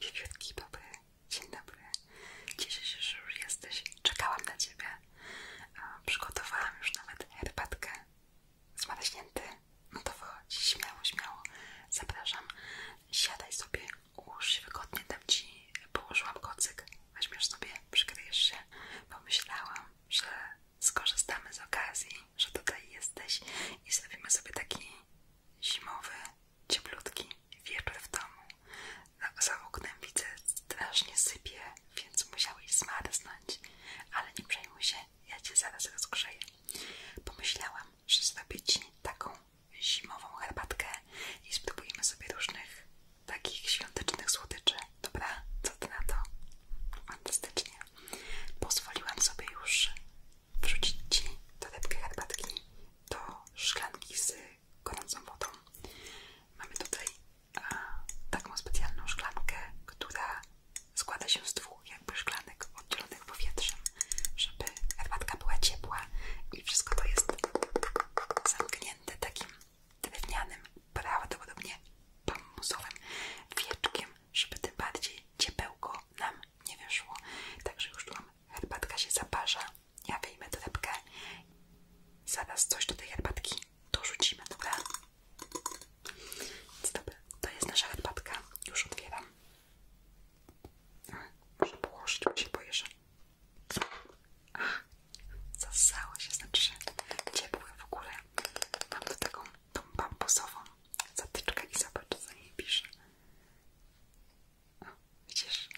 Wiewiórki, dobry, dzień dobry. Cieszę się, że już jesteś. Czekałam na Ciebie. Przygotowałam już nawet herbatkę. Zmarznięty? No to wychodź, śmiało, śmiało. Zapraszam. Siadaj sobie, ułóż wygodnie, dam Ci położyłam kocyk. Weźmiesz sobie, przykryjesz się. Pomyślałam, że skorzystamy z okazji, że tutaj jesteś i zrobimy sobie taki zimowy, cieplutki wieczór w domu. No, za oknem widzę strasznie sypie, więc musiałeś zmarznąć, ale nie przejmuj się, ja cię zaraz rozgrzeję. Pomyślałam, że zrobię ci taką zimową herbatkę i spróbujemy sobie różnych takich świątecznych słodyczy. Dobra, co ty na to? Fantastycznie. Pozwoliłam sobie już wrzucić Ci dodatkę herbatki do szklanki z gorącą wodą. Mamy tutaj taką specjalną szklankę, która składa się z dwóch jakby szklanek oddzielonych powietrzem, żeby herbatka była ciepła i wszystko to jest zamknięte takim drewnianym, prawdopodobnie bambusowym wieczkiem żeby tym bardziej ciepełko nam nie weszło, Także już tu mam, herbatka się zaparza, ja wyjmę torebkę, zaraz coś do tej herbatki dorzucimy, dobra? Więc dobra, to jest nasza herbatka, już otwieram. Muszę położyć, bo się boję, że... Zasało się, znaczy ciepłe w ogóle. Mam do tego tą bambusową zatyczkę i zobacz, co niej pisze. O, widzisz,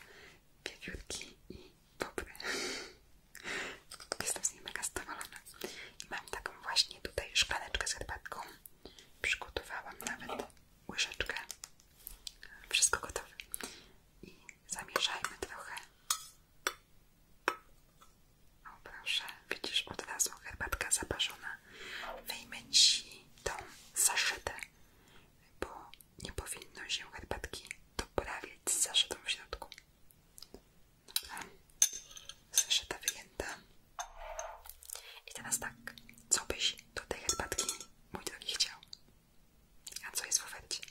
wiewiórki i bobry. Jestem z niej mega zadowolona. mam taką właśnie tutaj szklaneczkę z herbatką. Przygotowałam nawet łyżeczkę. Wszystko gotowe. I zamieszajmy trochę. O proszę. Widzisz, od razu herbatka zapaszona. Wyjmę ci tą zaszytę, bo nie powinno się herbatki doprawiać z zaszytą w środku. Dobra. Zaszyta wyjęta. I teraz tak, co byś do tej herbatki, mój drogi, chciał? A co jest w ofercie?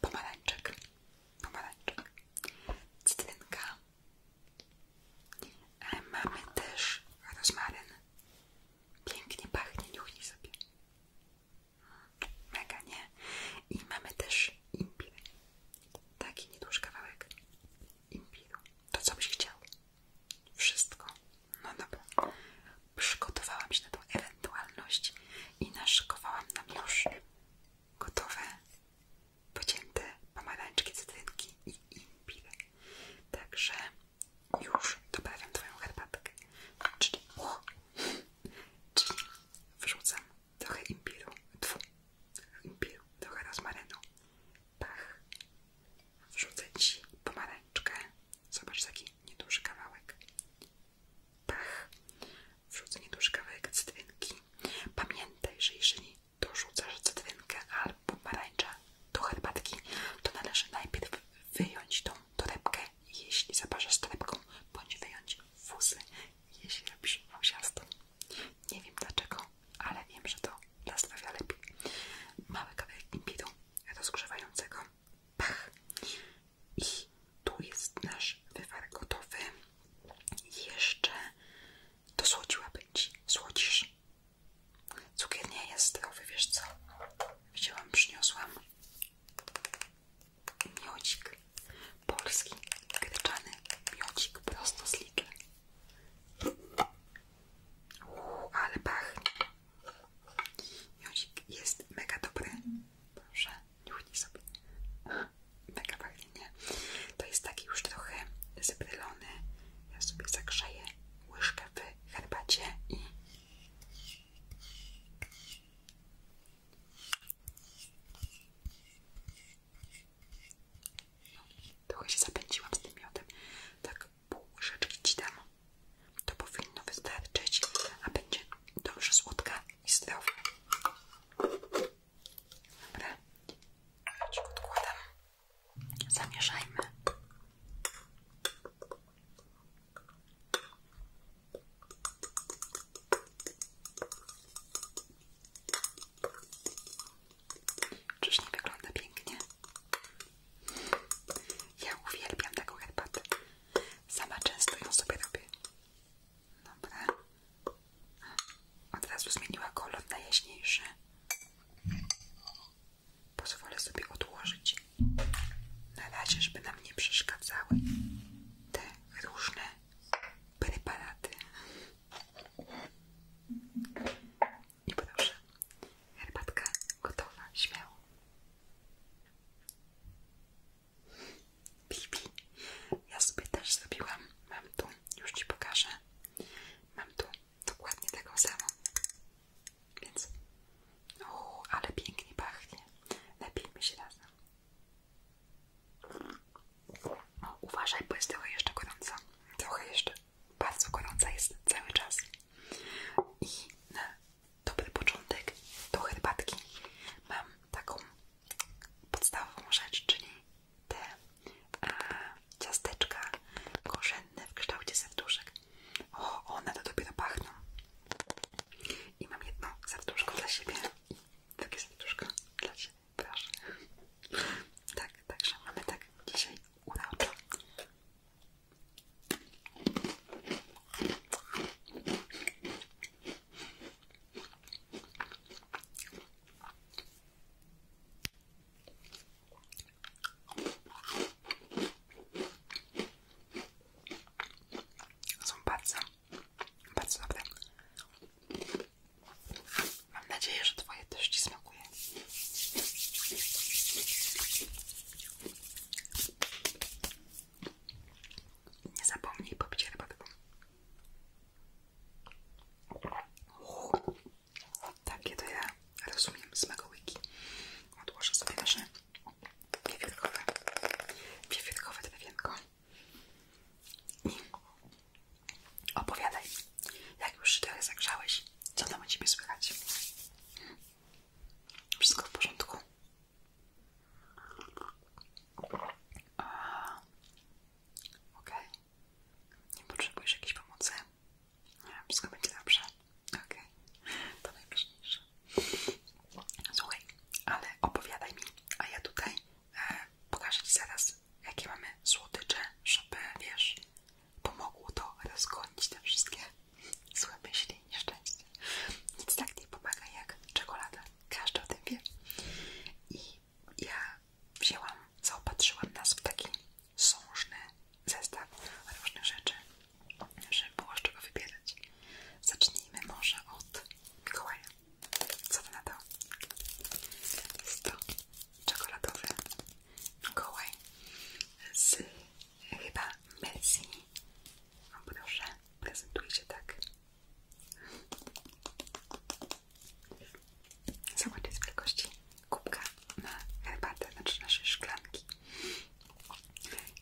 Pomarańczek, pomarańczek, cytrynka, E, mamy też rozmaryn. Pięknie pachnie, niuchnij sobie. Mega, nie? I mamy też imbir. Taki nieduży kawałek imbiru. To co byś chciał? Wszystko. No dobrze. Przygotowałam się na tą ewentualność i naszykowałam na już gotowe pocięte pomarańczki, cytrynki i imbir. Także już doprawiam Twoją herbatkę. Czyli, czyli wrzucam trochę imbiru, tfu, imbiru, trochę rozmarynu. Pach. Wrzucę Ci pomarańczkę. Zobacz taki nieduży kawałek. Pach. Wrzucę nieduży kawałek cytrynki. Pamiętaj, że jeżeli dorzucasz cytrynkę albo pomarańczę do herbatki, to należy najpierw wyjąć tą torebkę, jeśli zaparzasz torebką, bądź wyjąć fusy, jeśli robisz fusiastą. Nie wiem dlaczego, ale wiem, że to dla zdrowia lepiej. Mały kawałek imbiru rozgrzewającego. Pach! I tu jest nasz wywar gotowy. Jeszcze to słodziłabym ci. Słodzisz. Cukier nie jest zdrowy, wiesz co? Wzięłam, przyniosłam Miocik, polski, gryczany miocik, prosto z Lidl. Uuu, ale pachnie. Miocik jest mega dobry. Proszę, nie sobie. Mega pachnie, nie? To jest taki już trochę zebrylony, ja sobie zagrzeję łyżkę w herbacie i no, trochę się zapędziłam z tym miodem. Tak pół łyżeczki ci dam. To powinno wystarczyć, a będzie dobrze słodka i zdrowa. Dobra, odkładam. Zamieszajmy. Czyż nie wygląda pięknie? Ja uwielbiam taką herbatę. Sama często ją sobie robię. Dobra. Od razu zmieniła kolor na jaśniejszy. Pozwolę sobie odłożyć na razie, żeby nam nie przeszkadzały te różne preparaty. I proszę, herbatka gotowa, śmiało. Bibi, ja sobie też zrobiłam. Mam tu, już Ci pokażę. Mam tu dokładnie taką samą. Więc, o, ale pięknie pachnie. Napijmy się razem. O, uważaj, bo jest trochę jeszcze gorąca. Trochę jeszcze bardzo gorąca jest cały czas. I na dobry początek do herbatki mam taką podstawową rzecz, czyli te e, ciasteczka korzenne w kształcie serduszek. O, one to dopiero pachną. I mam jedno serduszko dla siebie. Takie serduszko dla siebie. proszę. Tak, także mamy tak dzisiaj uroczo. Są bardzo, bardzo Mam nadzieję, że Twoje też Ci smakuje. Nie zapomnij popić herbatką. Takie to ja rozumiem z mego wiki. Odłożę sobie nasze wiewiórkowe, wiewiórkowe drewienko. I opowiadaj, jak już się zagrzałeś, co tam o słychać? Wszystko w porządku? Okej. Okay. Nie potrzebujesz jakiejś pomocy? Nie, wszystko będzie dobrze. Okej, okay. to najważniejsze. Słuchaj, ale opowiadaj mi, a ja tutaj e, pokażę Ci zaraz, jakie mamy słodycze, żeby, wiesz, pomogło to rozgonić te wszystkie złe myśli, nieszczęście. Nic tak nie pomaga jak czekolada. Każdy o tym wie. I ja wzięłam, zaopatrzyłam nas w takim sążny zestaw różnych rzeczy, żeby było z czego wybierać. Zacznijmy może od Mikołaja. Co to na to? czekoladowy Mikołaj z chyba Messi. O proszę, prezentuje się tak. Zobacz, jest wielkości kubka na herbatę, znaczy naszej szklanki.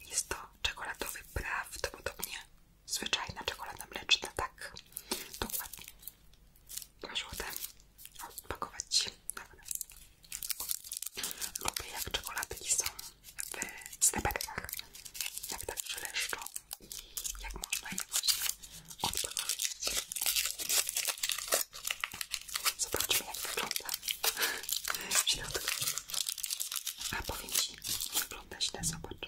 Jest to czekoladowy, prawdopodobnie zwyczajna czekolada mleczna, tak? Dokładnie. Proszę o tym odpakować Ci. Dobra. Lubię jak czekoladki są w stepetkach, jak tak przyleszczą i jak można je właśnie odpakować. Zobaczmy jak wygląda w A powiem Ci, nie wygląda źle, zobacz.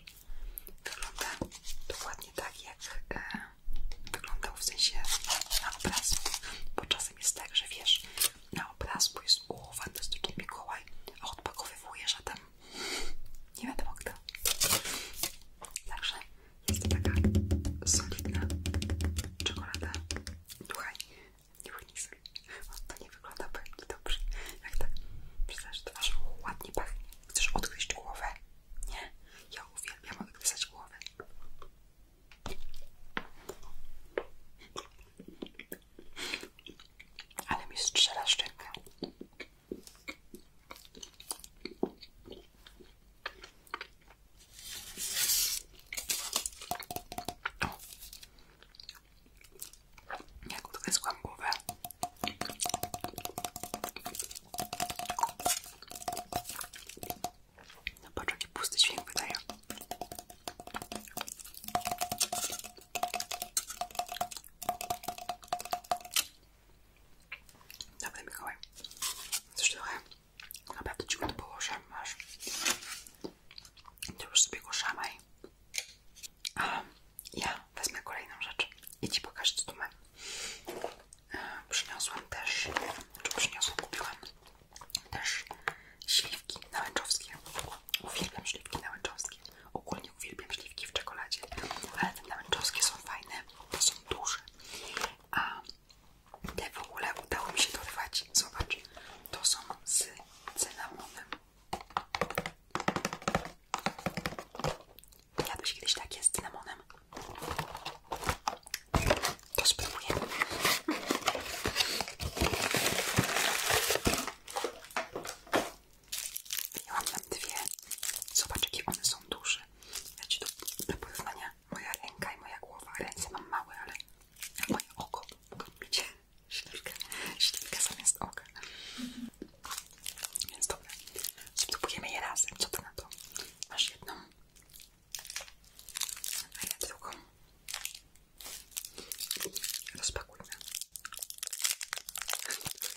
Wygląda dokładnie tak, jak e, wyglądał w sensie na obrazku. Bo czasem jest tak, że wiesz, na obrazku jest u fantastyczny Mikołaj, a odpakowywujesz, że tam nie wiadomo kto. Także jest to taka solidna czekolada. Słuchaj, nie unikaj. To tak nie wygląda pewnie dobrze. Jak tak przyznasz twarz, ładnie pachnie. Chcesz odgryźć głowę? Nie? Ja uwielbiam odgryzać głowę. Ale mi strzela szczękę. Jak odgryzłam głowę. No patrz, jaki pusty dźwięk wydaje. Dobra, Mikołaj. Coś Naprawdę ci go tu położę, masz. To już sobie go szamaj. A ja wezmę kolejną rzecz i ci pokażę, co tu mam. E, przyniosłam też, czy przyniosłam, kupiłam też śliwki nałęczowskie. Uwielbiam śliwki nałęczowskie. Ogólnie uwielbiam śliwki w czekoladzie, ale te nałęczowskie są fajne, bo są duże. A te w ogóle udało mi się dorwać. Zobacz, to są z cynamonem. Jadłeś kiedyś takie z cynamonem? To spróbuję. Miałam tam dwie. Zobacz, jakie one są duże. Ja ci do, do porównania moja ręka i moja głowa. Ręce mam małe, ale moje oko mogę mieć śliwkę, śliwkę zamiast oka. Więc dobra, spróbujemy je razem. Co to na to? Masz jedną, a ja drugą. Rozpakujmy.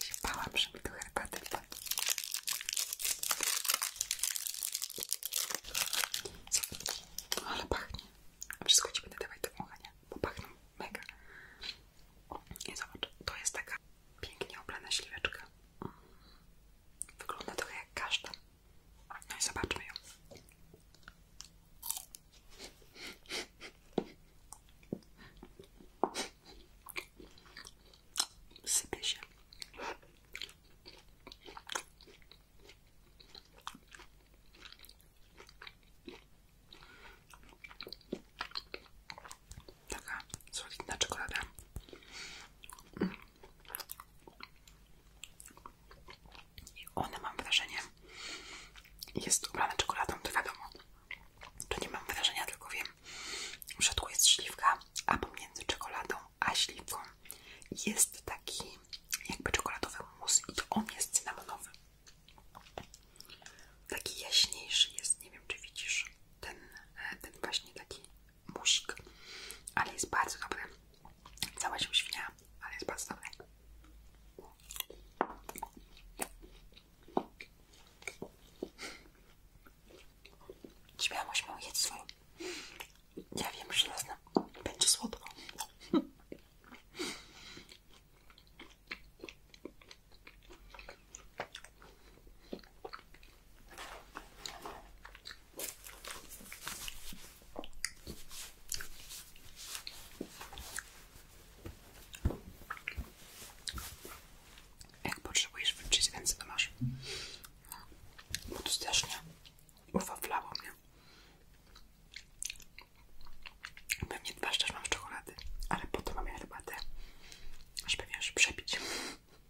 Się bałam, że mi tu herbaty wpadł. Co widzisz? Ale pachnie. Wszystko ci będę dawać do wąchania, bo pachną mega. I zobacz, to jest taka pięknie oblana śliweczka. Wygląda trochę jak kasztan. No i zobaczmy ją. Sypię. się. Taka solidna czekolada. I ona, mam wrażenie, jest ubrana czekoladą, to wiadomo. To nie mam wrażenia, tylko wiem, że środku jest śliwka, a pomiędzy czekoladą a śliwką. Jest taki jakby czekoladowy mus i on jest cynamonowy. Taki jaśniejszy jest, nie wiem czy widzisz, ten, e, właśnie taki musik, ale jest bardzo dobry. Cała się świnia, ale jest bardzo dobry. Śmiało, śmiało, jedz swoją ja wiem, że nas będzie słodko. Jak potrzebujesz wyczyć ręce, to masz. Bo to Pewnie dwa szczerze mam z czekolady, ale po to mam ja herbatę, żeby wiesz, przebić,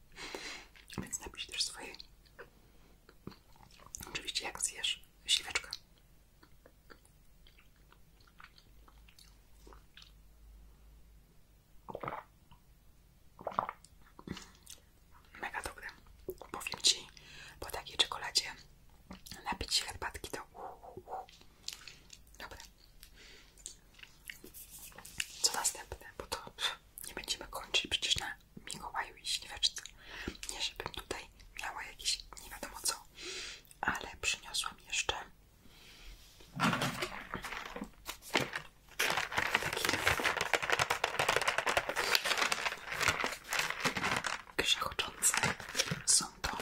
Więc napisz też swojej. Oczywiście jak zjesz śliweczkę. Mega dobre. Powiem Ci, po takiej czekoladzie napić się herbatki to Dobra. Co następne? Bo to nie będziemy kończyć przecież na Mikołaju i Śliweczce. Nie, żebym tutaj miała jakieś nie wiadomo co, ale przyniosłam jeszcze takie tak. grzechoczące są to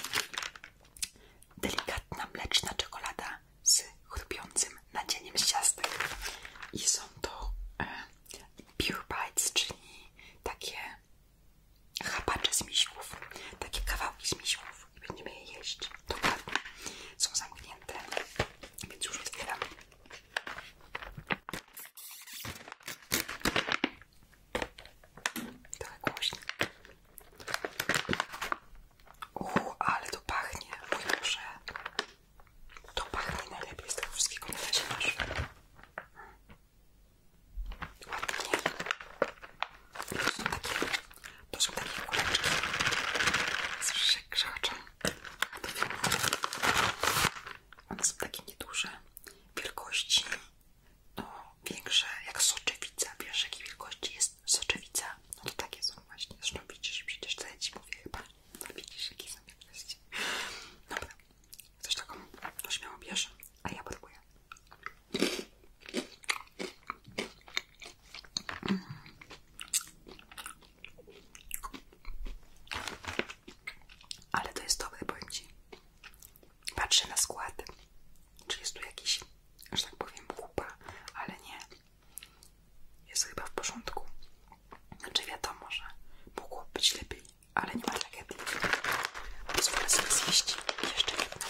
delikatna mleczna czekolada z chrupiącym nadzieniem z ciastek i są to e, pure bites, czyli takie chapacze z miśków, takie kawałki z miśków i będziemy je jeść dokładnie, są zamknięte, więc już otwieram Trochę głośno. Uuu, ale to pachnie, mój Boże. To pachnie najlepiej z tego wszystkiego, nie da się masz. Ładnie. To są takie, to są takie kuleczki. Słyszysz, jak A to filmuje. One są takie nieduże wielkości, no większe jak soczewica. Wiesz jakiej wielkości jest soczewica? No to takie są właśnie. Zresztą widzisz, przecież to ja ci mówię chyba. No widzisz jakie są wielkości. Dobra, coś taką no śmiało bierz, a ja próbuję. Mm. Ale to jest dobre, powiem Ci. Patrzę na skład, czy jest tu jakiś, że tak powiem, kupa, ale nie. Jest chyba w porządku. Znaczy wiadomo, że mogło być lepiej, ale nie ma tragedii. Pozwolę sobie zjeść jeszcze jedno.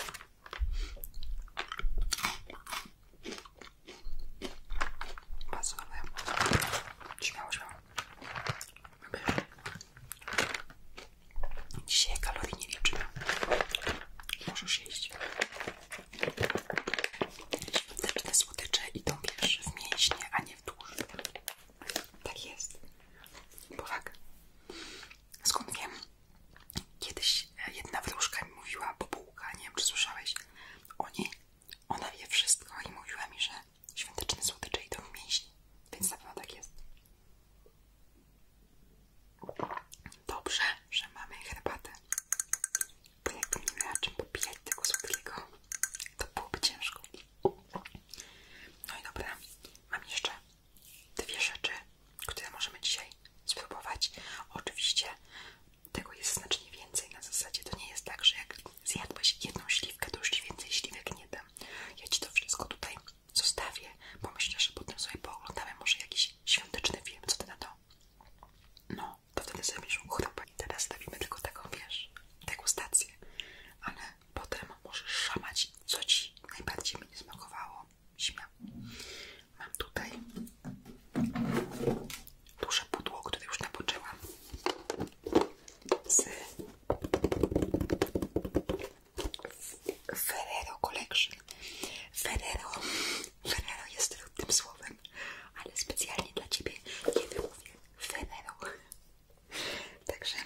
Bardzo dobre. Śmiało, śmiało. Dzisiaj kalorii nie liczymy. Możesz jeść. Świąteczne słodycze idą wiesz w mięśnie, a nie w tłuszcz. Tak jest. Bo Powak. Skąd wiem? Kiedyś e, jedna wróżka mi mówiła, bo bułka, nie wiem czy słyszałeś, o niej, ona wie wszystko i mówiła mi, że Świąteczne słodycze idą w mięśni, więc na pewno tak jest. Dobrze, że mamy herbatę. Bo jakbym nie miała czym popijać tego słodkiego, to byłoby ciężko. No i dobra, mam jeszcze dwie rzeczy, które możemy dzisiaj spróbować. Oczywiście tego jest znacznie więcej na zasadzie. To nie jest tak, że jak zjadłeś jedną śliwkę, to już ci więcej śliwek nie dam. Ja ci to wszystko tutaj zostawię, bo myślę, że potem sobie pooglądamy może jakiś świąteczny film, co ty na to? No, to wtedy sobie będziesz mógł i teraz stawimy tylko taką, wiesz, stację. ale potem możesz szamać, co ci najbardziej mnie nie smakowało. Śmiał. Mam tutaj duże pudło, które już napoczyłam z Ferrero Collection. Ferrero, Ferrero jest tym słowem, ale specjalnie dla Ciebie, kiedy mówię Ferrero. Także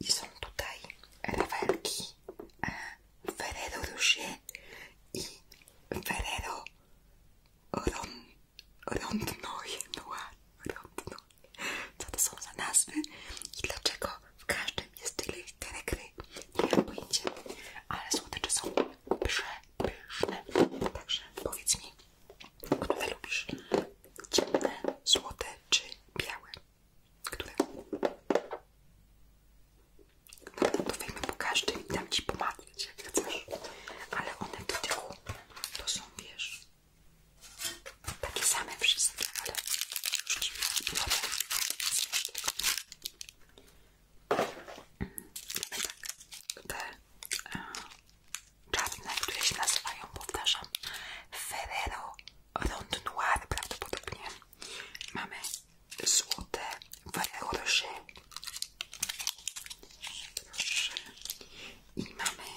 i są tutaj rawelki e, Ferrero Rocher i Ferrero Rom Rondnoje Noir. Rondnoje. Co to są za nazwy i dlaczego w każdym jest tyle literek ry? Nie mam pojęcia, ale słodycze są przepyszne. Także powiedz mi, które lubisz? Ciemne, złote czy białe? Które? No to wyjmę po każdym i dam ci pomagać, jak chcesz. Ale one w tyłu to są, wiesz, takie same wszystkie, ale już ci biorę Mamy tak, te e, czarne, które się nazywają, powtarzam, Ferrero Rond Noir prawdopodobnie. Mamy złote Ferrero Rocher i mamy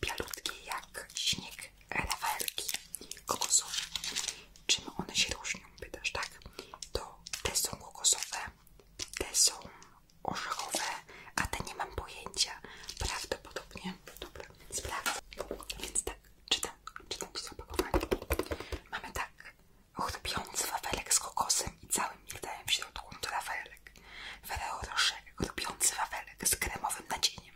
bialutkie jak śnieg lawerki kokosowe. Czym one się różnią? Pytasz, tak? To te są kokosowe, te są orzechowe, a te nie mam pojęcia. Prawdopodobnie. Dobra, Sprawdź. Więc tak, czytam, czytam ci zapakowanie. Mamy tak, chrupiący wafelek z kokosem i całym migdałem w środku do wafelek. Wyleł roszek, robiący wafelek z kremowym nadzieniem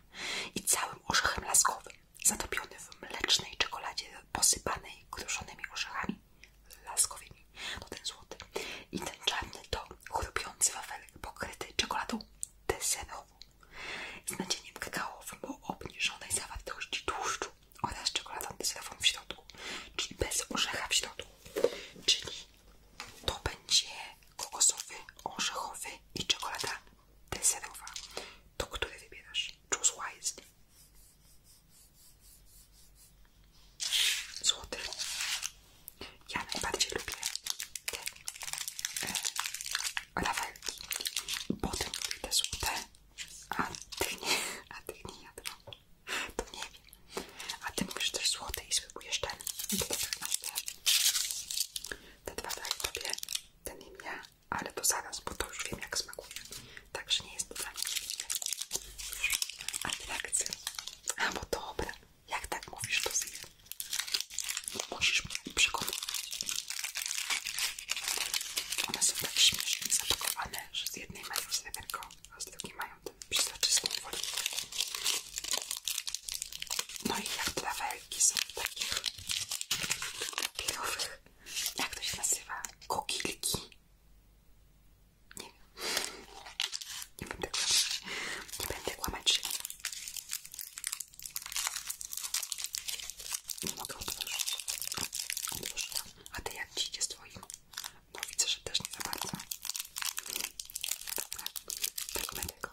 i całym orzechem laskowym, zatopiony w mlecznej czekoladzie posypanej kruszonymi orzechami laskowymi. To ten złoty. I ten czarny to chrupiący wafelek pokryty czekoladą deserową z nadzieniem kakaoowym o obniżonej zawartości tłuszczu oraz czekoladą deserową w środku, czyli bez orzecha w środku. Czyli to będzie kokosowy, orzechowy i czekolada deserowa. To który wybierasz? Choose wisely. Złoty. Ja najbardziej lubię te e, Potem lubię te złote, a ty nie, a ty nie ja To nie wiem. A ty mówisz też złote zł i żeby był jeszcze do 15. Te dwa ten im ja, ale to zaraz, bo to już wiem jak smakuje. Także nie jest to dla mnie atrakcja. A, bo dobra, jak tak mówisz, to zje. Musisz mnie przekonać. One są tak śmiesznie zapakowane, że z jednej mają sreberko, a z drugiej mają tę przezroczystą folię. No i jak trafelki są takich papierowych, jak to się nazywa, kokilki. Nie wiem. Nie będę kłamać. Nie będę kłamać. Nie mogę otworzyć. Otworzyłam. A ty jak ci idzie z No widzę, że też nie za bardzo. Dobra, tak będę go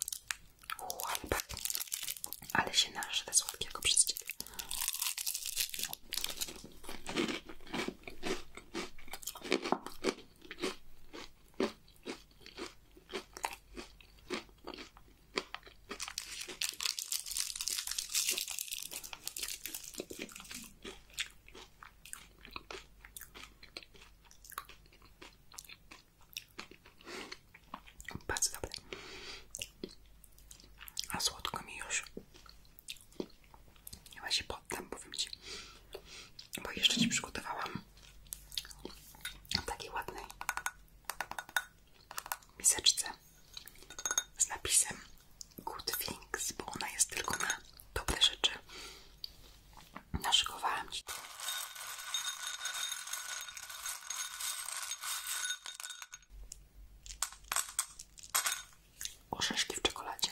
Łapę. Ale się nażre słodkiego przez ciebie. Bardzo dobre. A słodko mi już. ja się poddam, powiem Ci. Bo jeszcze Ci przygotowałam takiej ładnej miseczce z napisem Good Things, bo ona jest tylko na dobre rzeczy. Naszykowałam Ci. Orzeszki w czekoladzie.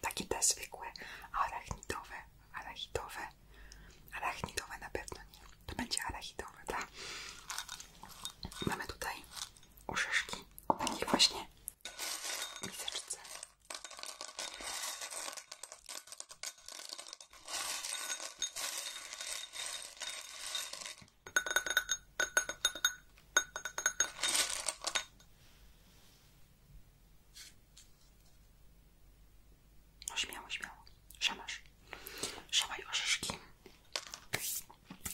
Takie te zwykłe, arachnidowe, arachidowe. Arachnidowe na pewno nie. To będzie arachidowe, tak? Mamy tutaj orzeszki w takiej właśnie miseczce. No śmiało, śmiało. Szamasz. Szamaj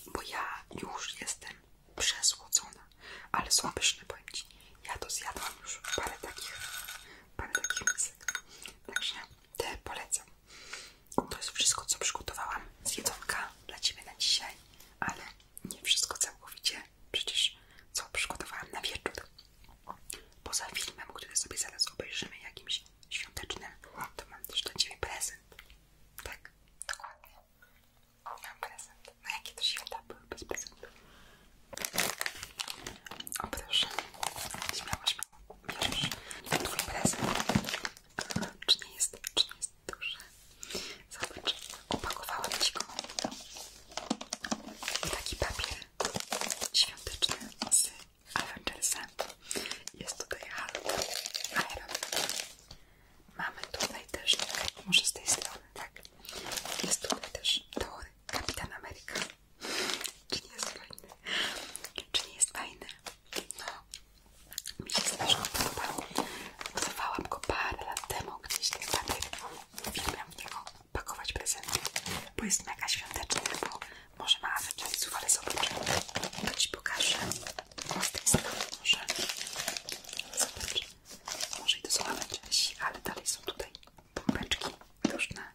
Bo ja już jestem przesłodzona, ale są pyszne, Ja to zjadłam już parę takich mamy taki misek. Także te polecam. To jest wszystko, co przygotowałam z jedzonka dla Ciebie na dzisiaj, ale nie wszystko całkowicie, przecież co przygotowałam na wieczór. Poza filmem, który sobie zaraz obejrzymy, jakimś świątecznym, to mam też dla Ciebie prezent. Tak, dokładnie. Mam prezent. No jakie to święta były bez prezentu? O proszę, śmiało, śmiało, bierzesz. Twój prezent, czy nie jest, czy nie jest duże? Zobacz, opakowałam Ci go w taki papier świąteczny z Avengersa. Jest tutaj Hulk, Iron Mamy tutaj też, może z tej strony, tak? Jest tutaj też Thor, Kapitan Ameryka czy nie jest fajny? Czy nie jest fajny? No, mi się strasznie podobało. Odrywałam go parę lat temu gdzieś ten papier. Uwielbiam w niego pakować prezenty, bo jest mega świąteczny, bo może ma afer czasów, ale zobaczę. To Ci pokażę. może. Może i to są afer ale dalej są tutaj pompeczki duszne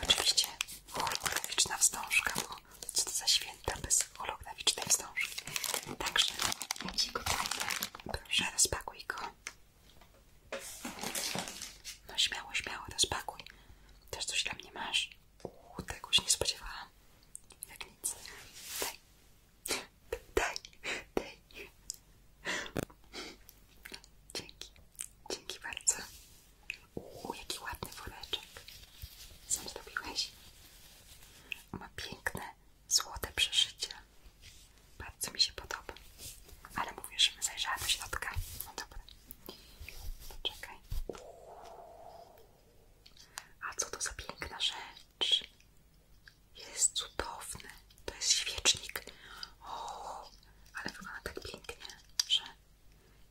i oczywiście holograficzna wstążka, bo co to za święta bez holograficznej wstążki. Także jeśli go proszę rozpakuj go. No śmiało, śmiało rozpakuj. Też coś dla mnie masz? Uuu, tego już nie spodziewałam. Jak nic. Daj, daj. Dzięki, dzięki bardzo. Uuu, jaki ładny woreczek. Sam zrobiłeś? Ma piękne, złote przeszycie. Bardzo mi się podoba. Ale mówię, że my zajrzała do środka. No dobra. Poczekaj. A co to za piękna rzecz? Jest cudowne. To jest świecznik. O, ale wygląda tak pięknie, że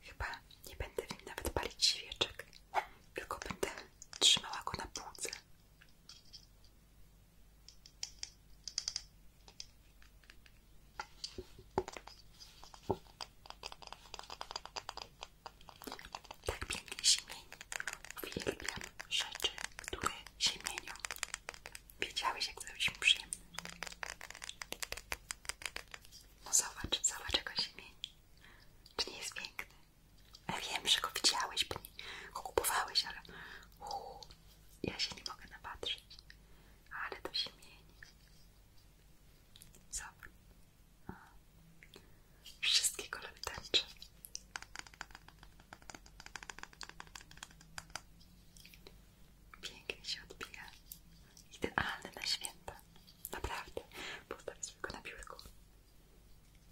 chyba nie będę w nim nawet palić świeczek, tylko będę trzymała go na półce. Taki piękny się mieni. Uwielbiam rzeczy, które się mienią. Wiedziałeś, jak zrobić mi przyjemne. No zobacz, zobacz, jak on się mieni. Czy nie jest piękny? Ja wiem, że go widziałeś, bo nie, go kupowałeś, ale uu, ja się nie mogę napatrzeć. Ale to się mieni. Zobacz. Wszystkie kolory tęczy. Pięknie się odbija. Idealny na święta. Naprawdę. Postaw sobie go na biurku.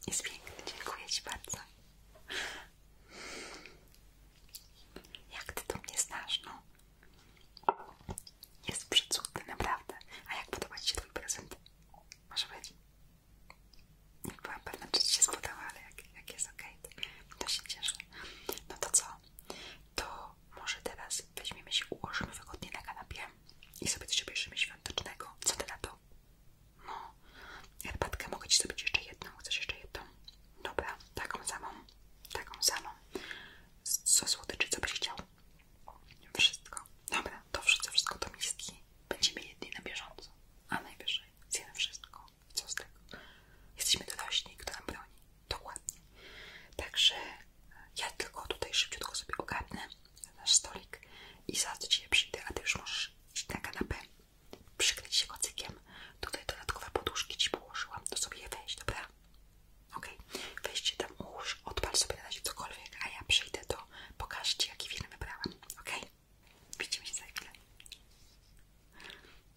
Jest piękny. Dziękuję Ci bardzo. Jak Ty to mnie znasz, no? Jest przecudny, naprawdę. A jak podoba Ci się ten prezent? Może być? Nie byłam pewna, czy Ci się spodoba, ale jak, jest ok, to się cieszę. No to co? to może teraz weźmiemy się, ułożymy wygodnie na kanapie i sobie coś obierzemy świątecznego. Co ty na to? No, herbatkę mogę ci zrobić jeszcze jedną. Chcesz jeszcze jedną? Dobra, taką samą, taką samą. Co słodyczy, co byś chciał? Wszystko. Dobra, to wszystko, wszystko do miski. Będziemy jedni na bieżąco, a najwyżej zjemy wszystko co z tego? Jesteśmy dorośli, kto nam broni. Dokładnie. Także e, ja tylko tutaj szybciutko sobie ogarnę nasz stolik i zaraz do Ciebie przyjdę, a Ty już możesz iść na kanapę, przykryć się kocykiem. Tutaj dodatkowe poduszki Ci położyłam, to sobie je weź, dobra? Okej, okay. weźcie tam łóż, odpal sobie na razie a ja przyjdę to pokażę Ci, jaki film wybrałam, okej? Widzimy się za chwilę.